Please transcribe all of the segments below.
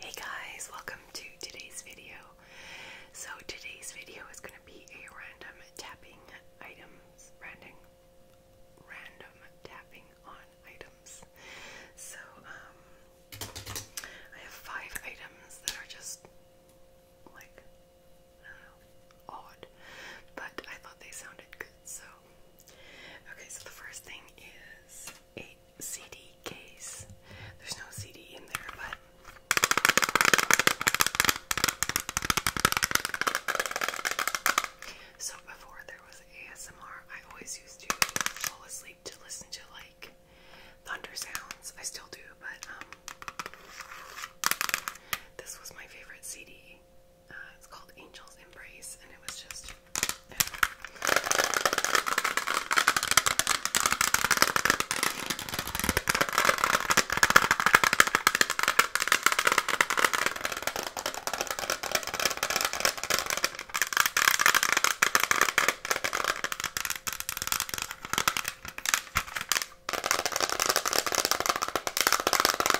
Hey guys, welcome to today's video. So today's video is going to be a random tapping items, random, random tapping on items. So um, I have five items that are just like I don't know odd, but I thought they sounded good, so Okay, so the first thing is a CD case. There's no CD in there, but so before there was ASMR, I always used to fall asleep to listen to like thunder sounds. I still do, but um, this was my favorite CD. Uh, it's called Angel's Embrace, and it was just.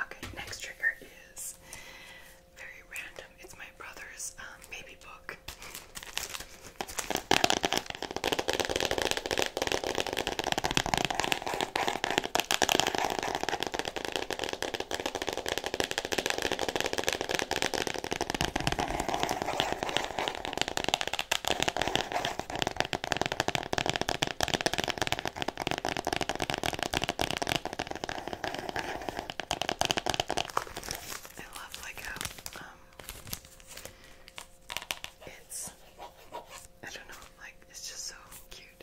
Okay, next trigger is very random. It's my brother's um, baby book. I love like how um it's I don't know like it's just so cute.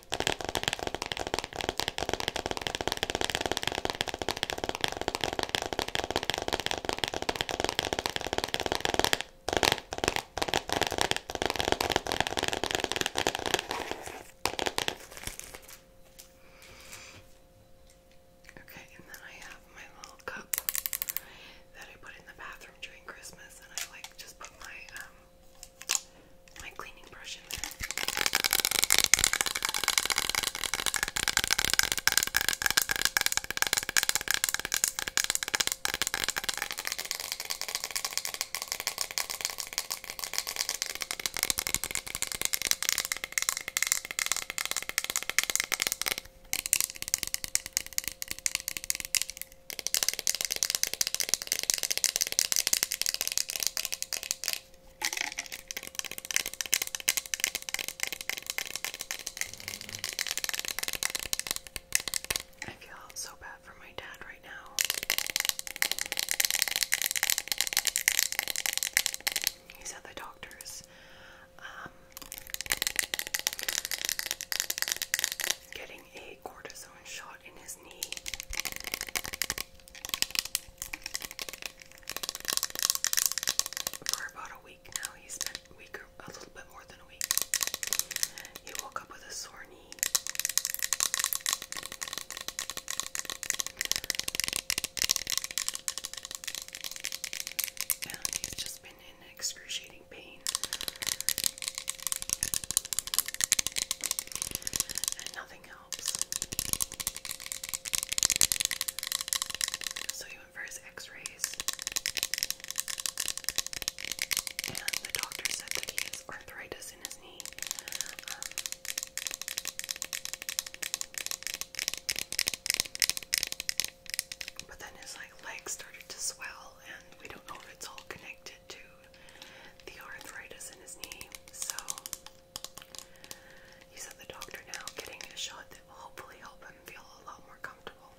Okay, and then I have my little cup that I put in the bathroom during Christmas, and I like just put my um, my cleaning brush in there. I feel so bad for my dad right now. He's at the doctor's. Um, getting a cortisone shot in his knee. For about a week now, he's been week or a little bit more than a week. He woke up with a sore knee. And he's just been in excruciating pain and nothing helps. So he went for his x-rays and the doctor said that he has arthritis in his knee. Um, but then his like legs started to swell and we don't know if it's all connected to the arthritis in his knee. So he's at the doctor now getting a shot that will hopefully help him feel a lot more comfortable.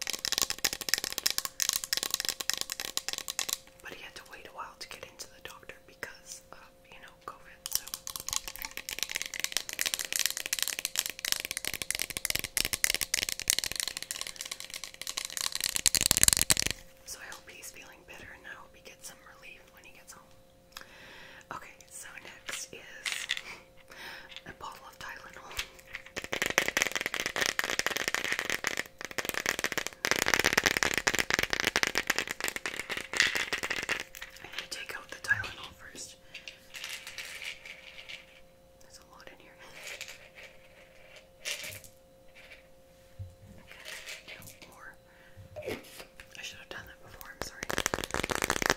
But he had to wait a while to get into the doctor because of, you know, COVID. So so I hope he's feeling better and I hope he gets some relief when he gets home. Okay, so next is a bottle of Tylenol. I'm to take out the Tylenol first. There's a lot in here. Okay, no more. I should have done that before, I'm sorry. Okay.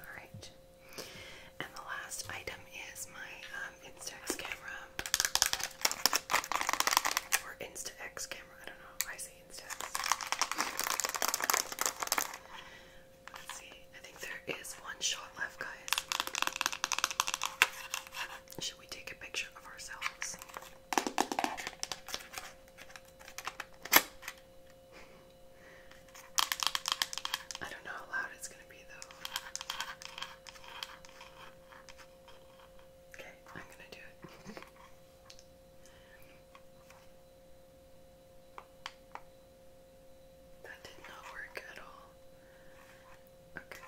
All right. And the last item is my um, Instax camera or Instax camera. I don't know. I say Instax. Let's see. I think there is one shot left, guys. Should we take a picture of ourselves? I don't know how loud it's going to be, though. Okay, I'm going to do it. That did not work at all. Okay.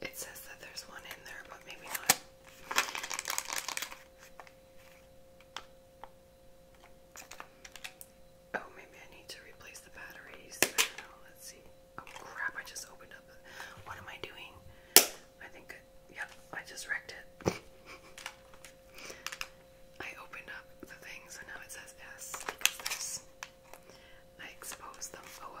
It says that there's one in there, but maybe not. Oh, maybe I need to replace the batteries. Let's see. Oh crap, I just opened up. What am I doing? I think, yep, I just wrecked it. I opened up the thing, so now it says S exposed them. Oh well.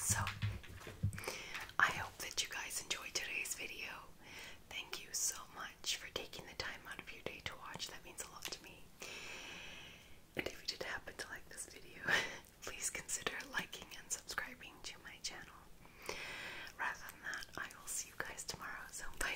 So, I hope that you guys enjoyed today's video. Thank you so much for taking the time out of your day to watch. That means a lot to me. And if you did happen to like this video, please consider liking and subscribing to my channel. Rather than that, I will see you guys tomorrow. So, bye